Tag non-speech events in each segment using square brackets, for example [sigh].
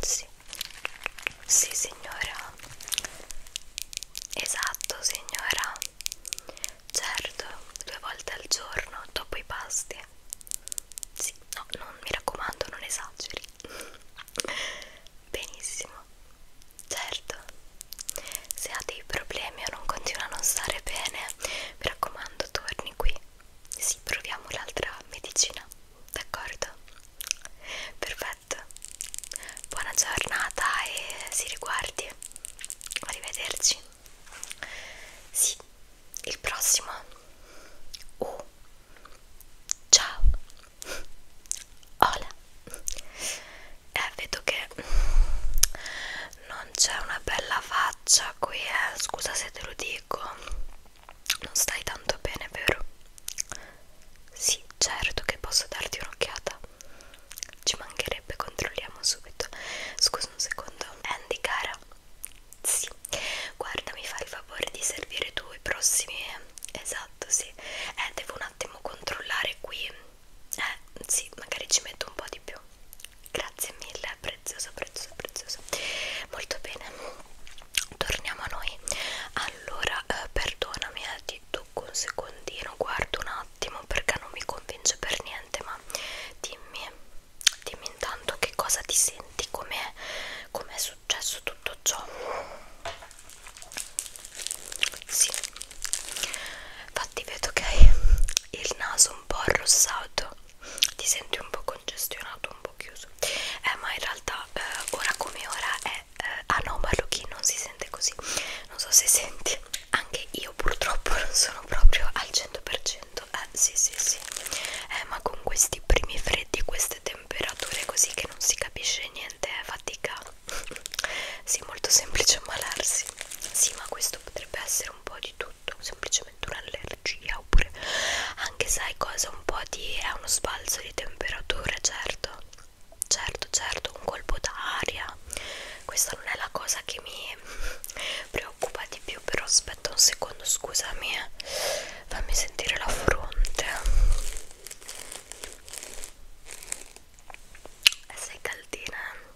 Sì. sì, signora. Esatto, signora. Certo, due volte al giorno dopo i pasti. Sì, no, non mi raccomando, non esageri. [laughs] Benissimo. Certo. Se ha dei problemi o non continua a non stare bene, mi raccomando, torni qui. Sì, proviamo l'altra medicina, d'accordo? Perfetto. Buona giornata e si riguardi. Arrivederci. Sì, il prossimo. Oh. Ciao. Hola. Eh, vedo che non c'è una bella faccia qui eh scusa se te lo dico non stai tanto bene vero? sì certo che posso darti un'occhiata ci mancherebbe controlliamo subito scusa un secondo Andy cara sì guarda mi fai il favore di servire tu i prossimi eh. esatto sì eh devo un attimo controllare qui eh sì magari ci metto un po' di più grazie mille, prezioso, prezioso, prezioso. Molto bene, torniamo a noi. Allora, eh, perdonami, eh, ti tocco un secondino, guardo un attimo perché non mi convince per niente, ma dimmi, dimmi intanto che cosa ti senti, com'è com successo tutto ciò. Sì, infatti vedo che hai il naso un po' arrossato ti senti un po' congestionato, un po' chiuso eh, ma in realtà eh, ora come ora è eh, anomalo chi non si sente così non so se senti anche io purtroppo non sono proprio al 100% eh sì sì sì eh, ma con questi primi freddi queste temperature così che non si capisce niente è eh, fatica [laughs] sì molto semplice ammalarsi sì ma questo potrebbe essere un po' di tutto semplicemente un'allergia oppure anche sai cosa un po' di è uno sbalzo di temperatura certo certo certo un colpo d'aria questa non è la cosa che mi [laughs] preoccupa di più però aspetta un secondo scusami eh. fammi sentire la fronte sei caldina eh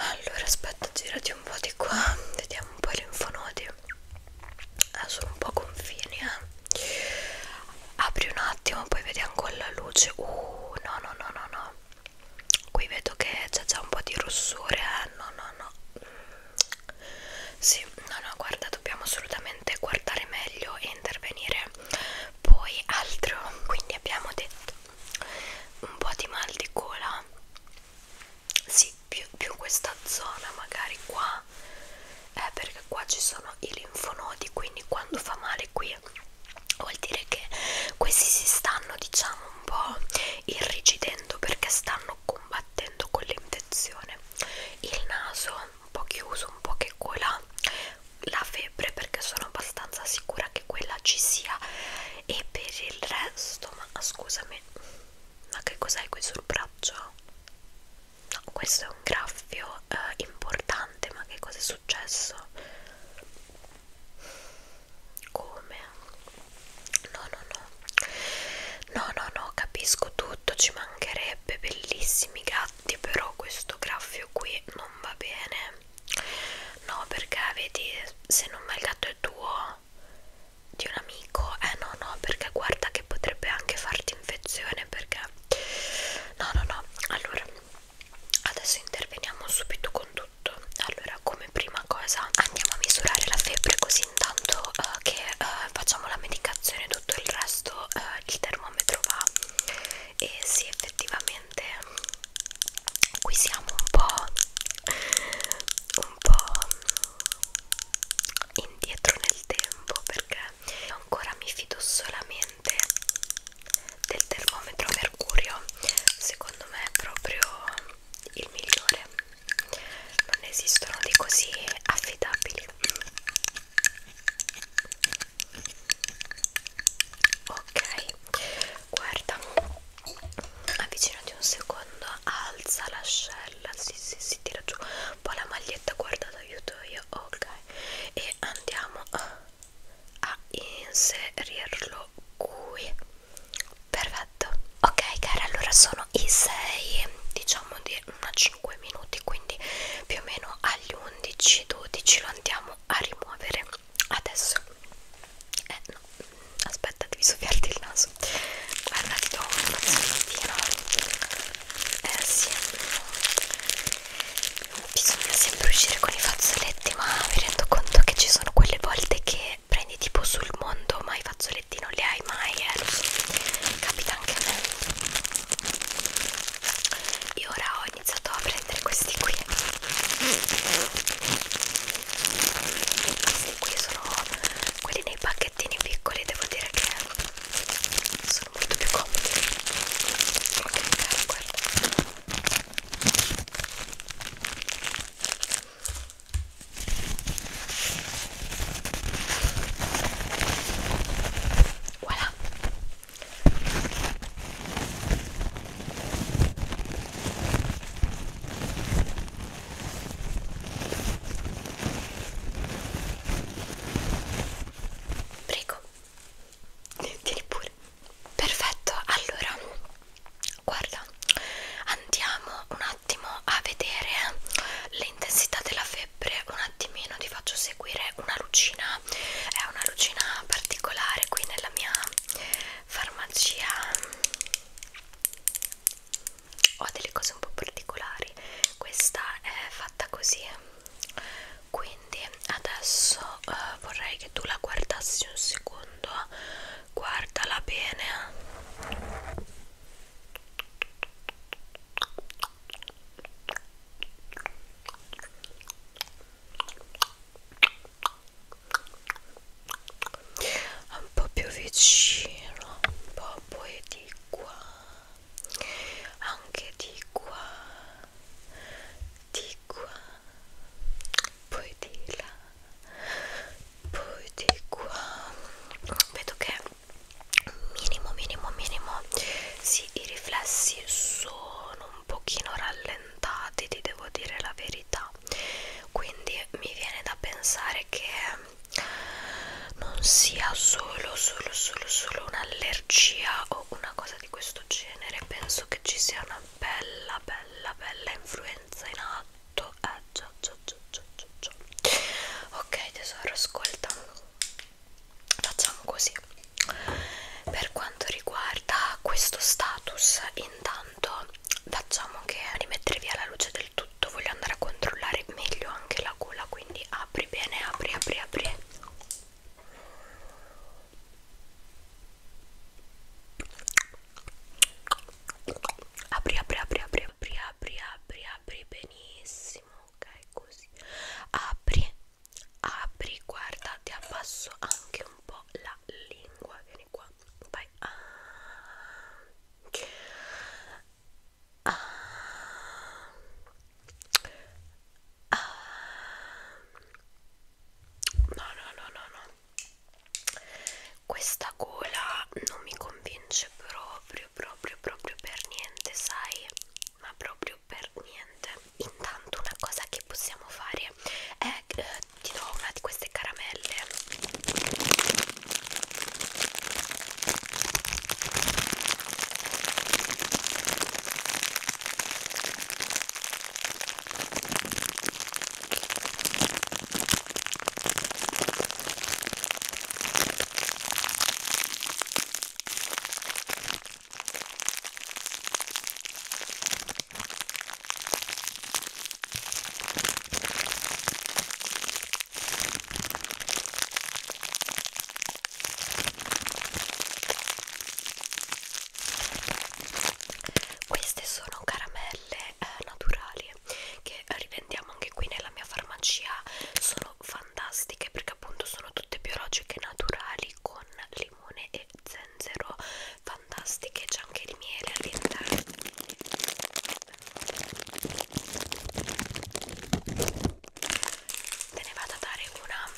allora aspetta girati un po' di qua vediamo un po' i linfonodi eh, sono un po' confini eh. apri un attimo poi vediamo con la luce uh no no no no no qui vedo che c'è già un po' di rossore eh. no no no mm. sì no no guarda dobbiamo assolutamente guardare meglio e intervenire poi altro quindi abbiamo detto un po' di mal di gola sì più, più questa zona magari qua eh, perché qua ci sono i linfonodi quindi quando fa male qui vuol dire che questi si stanno diciamo un po' irrigidendo perché stanno combattendo con l'infezione il naso un po' chiuso un po' che gola la febbre perché sono abbastanza sicura che quella ci sia e per il resto ma scusami ma che cos'è qui sul braccio? no questo è un graffio eh, importante ma che cosa è successo? come? no no no no no no capisco tutto ci mancherebbe bellissimi gatti però questo graffio qui non va bene no perché vedi se non ma il gatto è tuo di un amico eh no no perché guarda che potrebbe anche farti infezione perché no no no allora adesso interveniamo subito con tutto allora come prima cosa andiamo a misurare la febbre così intanto uh, che uh, facciamo la medicazione tutto il resto uh, il termometro va e se effettivamente veramente qui siamo un po' un po' indietro nel tempo perché io ancora mi fido solamente del termometro mercurio secondo me è proprio il migliore non esistono di così affidabili ok guarda avvicinati un secondo alza l'ascella si sì, si sì, sì, tira giù un po' la maglietta guarda aiuto io ok e andiamo a inserirlo qui perfetto ok cara allora sono i 6 diciamo di una 5 minuti quindi più o meno agli 11 12 lo andiamo andiamo a rimuovere adesso eh no aspetta devi soffiarti il naso guarda ti do un fazzolettino eh sì bisogna sempre uscire con i fazzoletti ma mi rendo conto che ci sono quelle volte che prendi tipo sul mondo ma i fazzoletti non li hai mai eh lo so capita anche a me io ora ho iniziato a prendere questi qui questi qui sono quelli nei pacchettini piccoli devo dire che sono molto più comodi ok guarda voilà Prego, tieni pure. Perfetto, allora guarda, andiamo un attimo a vedere l'intensità della febbre. Un attimino ti faccio seguire una lucina è una lucina particolare qui nella mia farmacia ho delle cose un po' particolari questa è fatta così quindi adesso eh, vorrei che tu la guardassi un secondo guardala bene un po' più vicino un po' poi di qua anche di qua di qua poi di là poi di qua vedo che minimo minimo minimo sì i riflessi sono un pochino rallentati ti devo dire la verità quindi mi viene da pensare che non sia solo solo solo solo un'allergia o una cosa di questo genere penso che ci sia una bella bella bella influenza in atto eh, già, già, già, già, già. ok tesoro ascolta facciamo così per quanto riguarda questo status intanto facciamo che rimettere via la luce del tutto voglio andare a controllare meglio anche la gola quindi apri bene apri apri apri apri apri apri apri apri apri apri apri benissimo ok così apri apri guarda ti abbasso anche un po' la lingua vieni qua vai ah. Ah. Ah. no no no no no questa gola non mi convince proprio proprio proprio per niente sai ma proprio per niente intanto una cosa che possiamo fare è eh, ti do una di queste caramelle queste sono caramelle eh, naturali che rivendiamo anche qui nella mia farmacia, sono fantastiche perché appunto sono tutte biologiche naturali fiori con limone e zenzero fantastiche c'è anche il miele all'interno te ne vado a dare una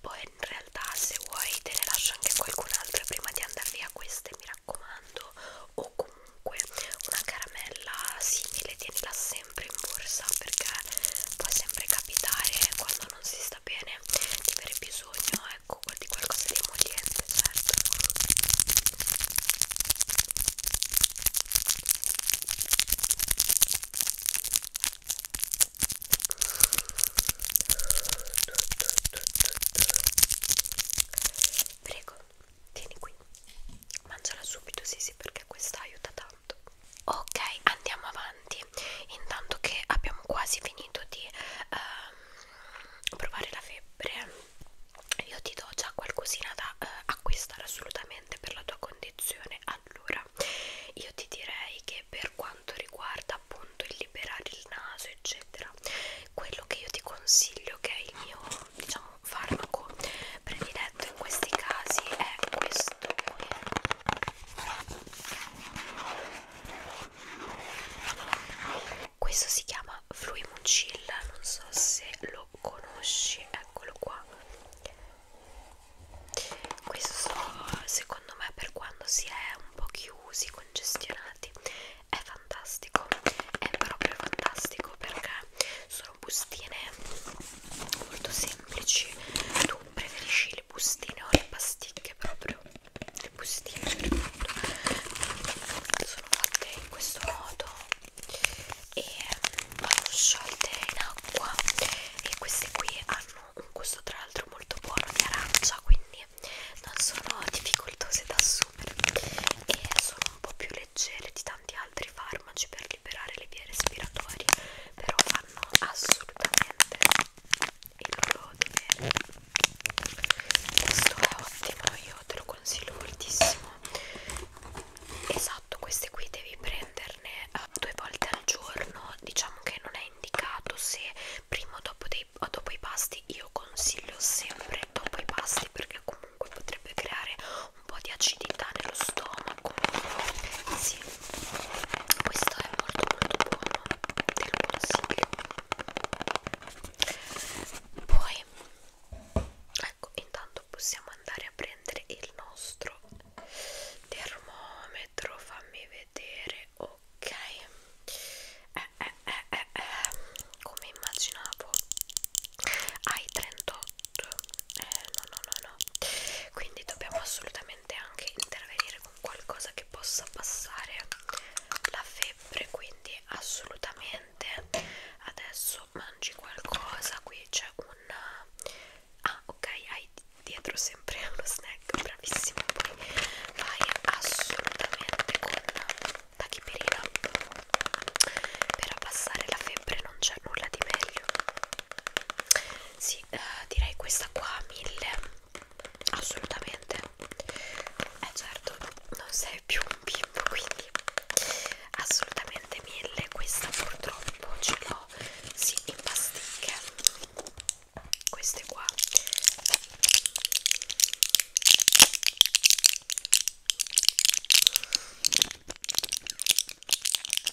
poi in realtà se vuoi te ne lascio anche qualcun'altra prima di andare via queste mi raccomando o comunque una caramella simile tienila sempre sempre in borsa perché può sempre capitare quando non si sta bene di avere bisogno ecco di qualcosa di emoliente certo prego tieni qui mangiala subito sì sì perché questa aiuta tanto ok andiamo avanti intanto che abbiamo quasi finito di ehm, provare la febbre io ti do già qualcosina da eh, acquistare assolutamente per la tua condizione allora io ti direi che per quanto riguarda appunto il liberare il naso eccetera quello che io ti consiglio che è il mio diciamo farmaco prediletto in questi casi è questo qui questo si chiama Fluimucilla non so se lo conosci eccolo qua questo secondo me per quando si è un po' chiusi congestionati è fantastico è proprio fantastico perché su sono bustine molto semplici tu preferisci le bustine o le pasticche proprio le bustine per tutto sono fatte in questo modo e vanno sciolte in acqua e queste qui hanno un gusto tra l'altro molto buono di arancia quindi non sono difficoltose da assumere e sono un po' più leggere di tanti altri farmaci per liberare le vie respiratorie però fanno assolutamente il loro dovere questo è ottimo io te lo consiglio moltissimo esatto queste qui devi prenderne eh, due volte al giorno diciamo che non è indicato se prima o dopo, dei, o dopo i pasti io consiglio sempre dopo i pasti perché comunque potrebbe creare un po' di acidità nello stomaco sì questo è molto molto buono te lo consiglio poi ecco intanto possiamo andare a prendere il nostro termometro fammi vedere ok eh, eh, eh, eh, eh. come immaginavo hai 38 eh, no no no no quindi dobbiamo assolutamente anche intervenire con qualcosa che possa passare la febbre quindi assolutamente adesso mangi qualcosa qui c'è un ah ok hai dietro sempre uno [laughs] snack bravissimo poi vai assolutamente con la chipirina per abbassare la febbre non c'è nulla di meglio sì eh, direi questa qua 1000 assolutamente eh certo non sei più un bimbo quindi assolutamente 1000 questa purtroppo ce l'ho sì in pasticche queste qua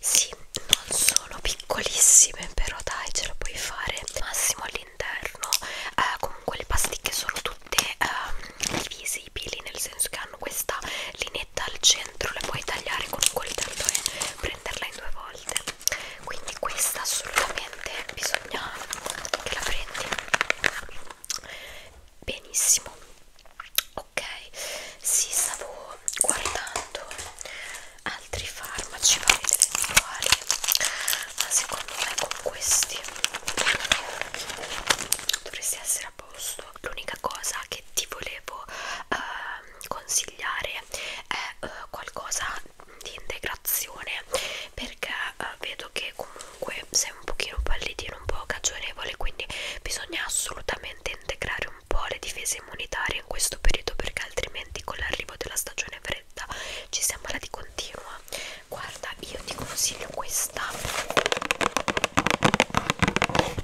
Sì, non sono piccolissime, però dai, ce la puoi fare massimo all'interno. Eh, comunque le pasticche sono tutte eh, divisibili, nel senso che hanno questa linetta al centro, le puoi tagliare con un coltello e prenderla in due volte quindi questa assolutamente bisogna che la prendi benissimo ok si sì, stavo guardando altri farmaci vari ed eventuali ma secondo me con questi dovresti essere a posto l'unica cosa che ti volevo eh, consigliare consigliare è eh, qualcosa di integrazione perché eh, vedo che comunque sei un pochino pallidino, un po' cagionevole quindi bisogna assolutamente integrare un po' le difese immunitarie in questo periodo perché altrimenti con l'arrivo della stagione fredda ci si ammala di continua guarda io ti consiglio questa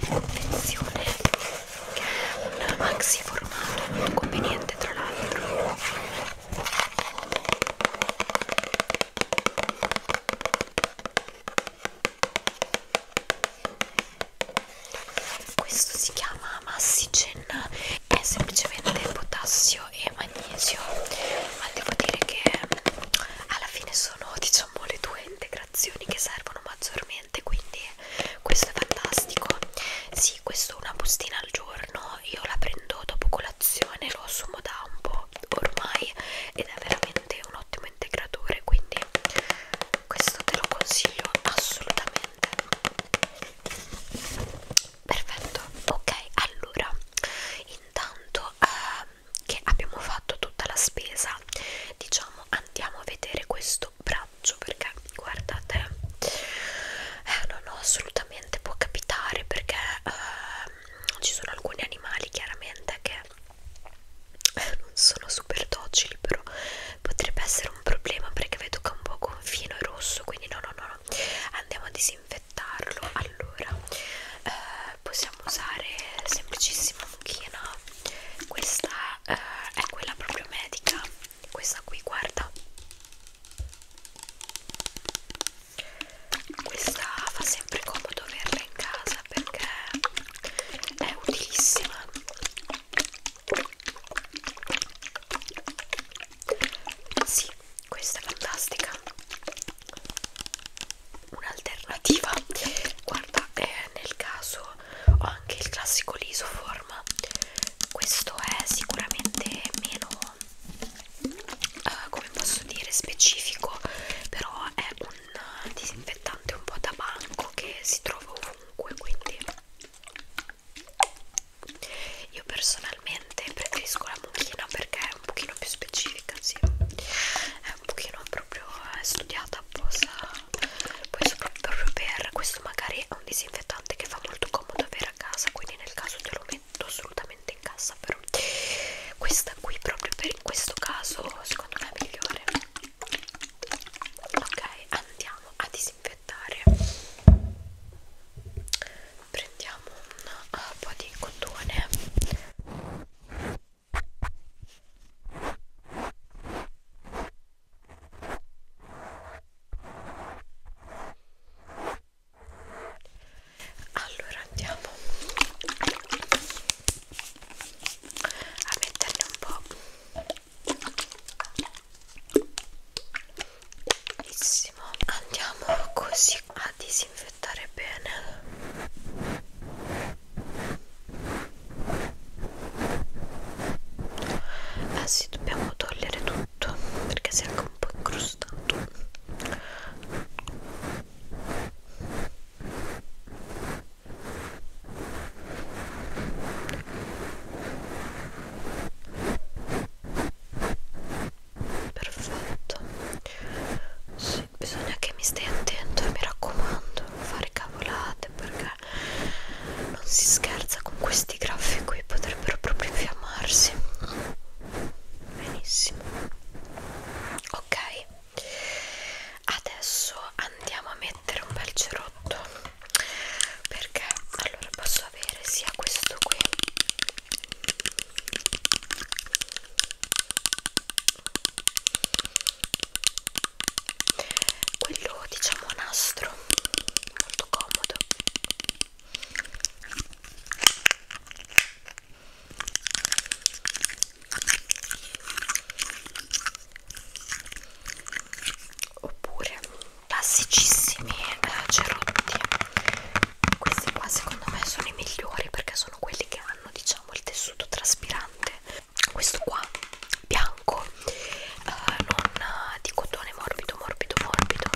confezione un maxi formato molto conveniente tra l'altro questo si chiama Massigen è semplicemente potassio e magnesio ma devo dire che alla fine sono diciamo le due integrazioni che servono maggiormente quindi questo è fantastico sì questo una bustina al giorno io la prendo dopo colazione lo assumo da un po' ormai ed è veramente un ottimo integratore quindi questo te lo consiglio assolutamente perfetto ok allora intanto eh, che abbiamo fatto tutta la spesa diciamo andiamo a vedere questo questo braccio perché guardate eh, non ho assolutamente può capitare perché eh, ci sono alcuni animali chiaramente che eh, non sono super docili però potrebbe essere un problema perché vedo che è un po' confino è rosso quindi no no no, no. andiamo a disinfettarlo allora eh, possiamo usare semplicissima mucchina questa eh, è quella proprio medica questa qui guarda questa fa sempre comodo averla in casa perché è utilissima sì questa è fantastica un'alternativa guarda è eh, nel caso ho anche il classico lisoform questo è sicuramente meno uh, come posso dire specifico però è un disinfettante un po' da banco che si trova ovunque quindi io personalmente preferisco la mucchina perché è un pochino più specifica sì è un pochino proprio eh, studiata apposta poi sopra, proprio per questo magari è un disinfettante che fa molto comodo avere a casa quindi nel caso te lo metto assolutamente in cassa però questa qui proprio per in questo caso secondo me è migliore ok andiamo a disinfettare prendiamo un uh, po' di cotone allora andiamo a metterne un po' benissimo andiamo così a disinfettare bene eh sì dobbiamo togliere tutto perché si è anche un po' incrustato perfetto sì, bisogna che mi stai attento mi raccomando non fare cavolate perché non si scherza con questi graffi qui potrebbero proprio infiammarsi benissimo ok adesso andiamo a mettere un bel cerotto perché allora posso avere sia questo qui quello diciamo nastro molto comodo oppure classicissimi eh, cerotti questi qua secondo me sono i migliori perché sono quelli che hanno diciamo il tessuto traspirante questo qua bianco eh, non eh, di cotone morbido morbido morbido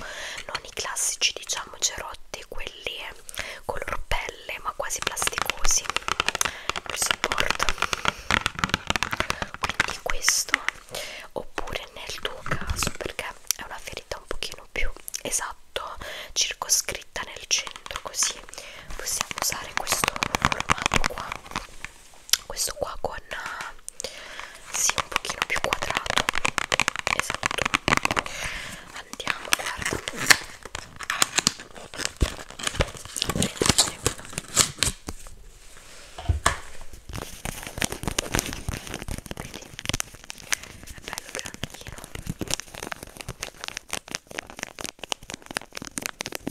non i classici diciamo cerotti quelli eh, color pelle ma quasi plasticosi per supporto quindi questo oppure nel tuo caso perché è una ferita un pochino più esatto circoscritta nel centro così possiamo usare questo formato qua questo qua con eh, sì un pochino più quadrato esatto andiamo guarda Vedi? è bello grandino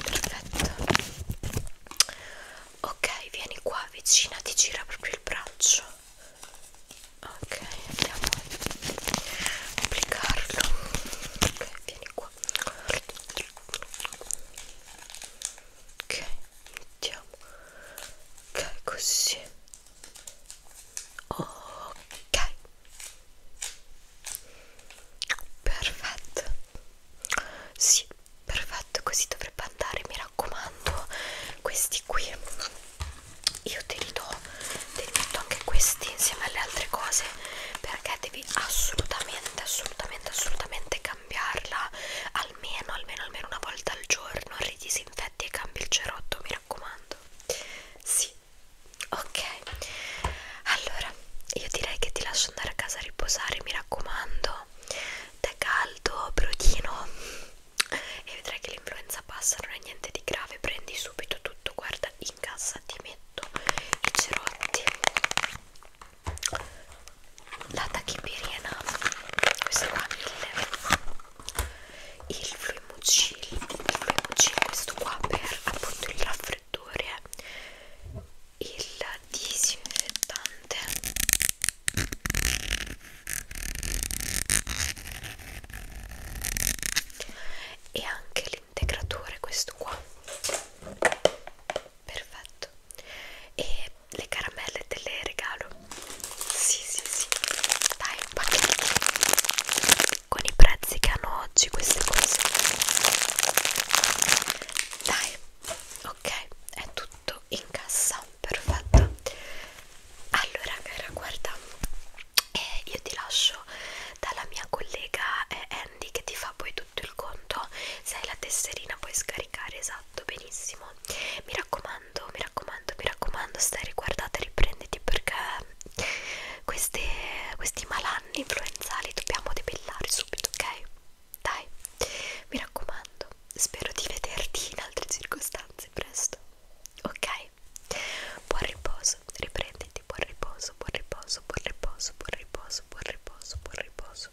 perfetto ok vieni qua vicina ti gira proprio il braccio ok andiamo a applicarlo ok vieni qua ok mettiamo ok così ok perfetto sì perfetto così dovrebbe andare mi raccomando questi qui io te li do te li metto anche questi insieme alle altre cose perché devi assolutamente assolutamente assolutamente cambiarla almeno, almeno, almeno una volta al giorno, ridisinfetti e cambi il cerotto, mi raccomando. Sì, ok. Allora, io direi che ti lascio andare a casa a riposare, mi raccomando. Te caldo, brodino. E vedrai che l'influenza passa, non è niente di grave, prendi subito tutto, guarda, in cassa ti metto i cerotti la tachipirina questa qua 1000 il fluimucil il fluimucil questo qua per appunto il raffreddore il disinfettante e anche l'integratore questo qua perfetto e le caramelle te le regalo sì sì sì dai un pacchetto con i prezzi che hanno oggi queste cose dai ok è tutto in cassa perfetto allora cara guarda eh, io ti lascio dalla mia collega eh, Andy che ti fa poi tutto il conto se hai la tesserina puoi scaricare esatto esatto, benissimo. Mi raccomando, mi raccomando, mi raccomando, stai riguardate, riprenditi perché queste, questi malanni influenzali dobbiamo debellare subito, ok? Dai, mi raccomando, spero di vederti in altre circostanze presto, ok? Buon riposo, riprenditi, buon riposo, buon riposo, buon riposo, buon riposo, buon riposo, buon riposo.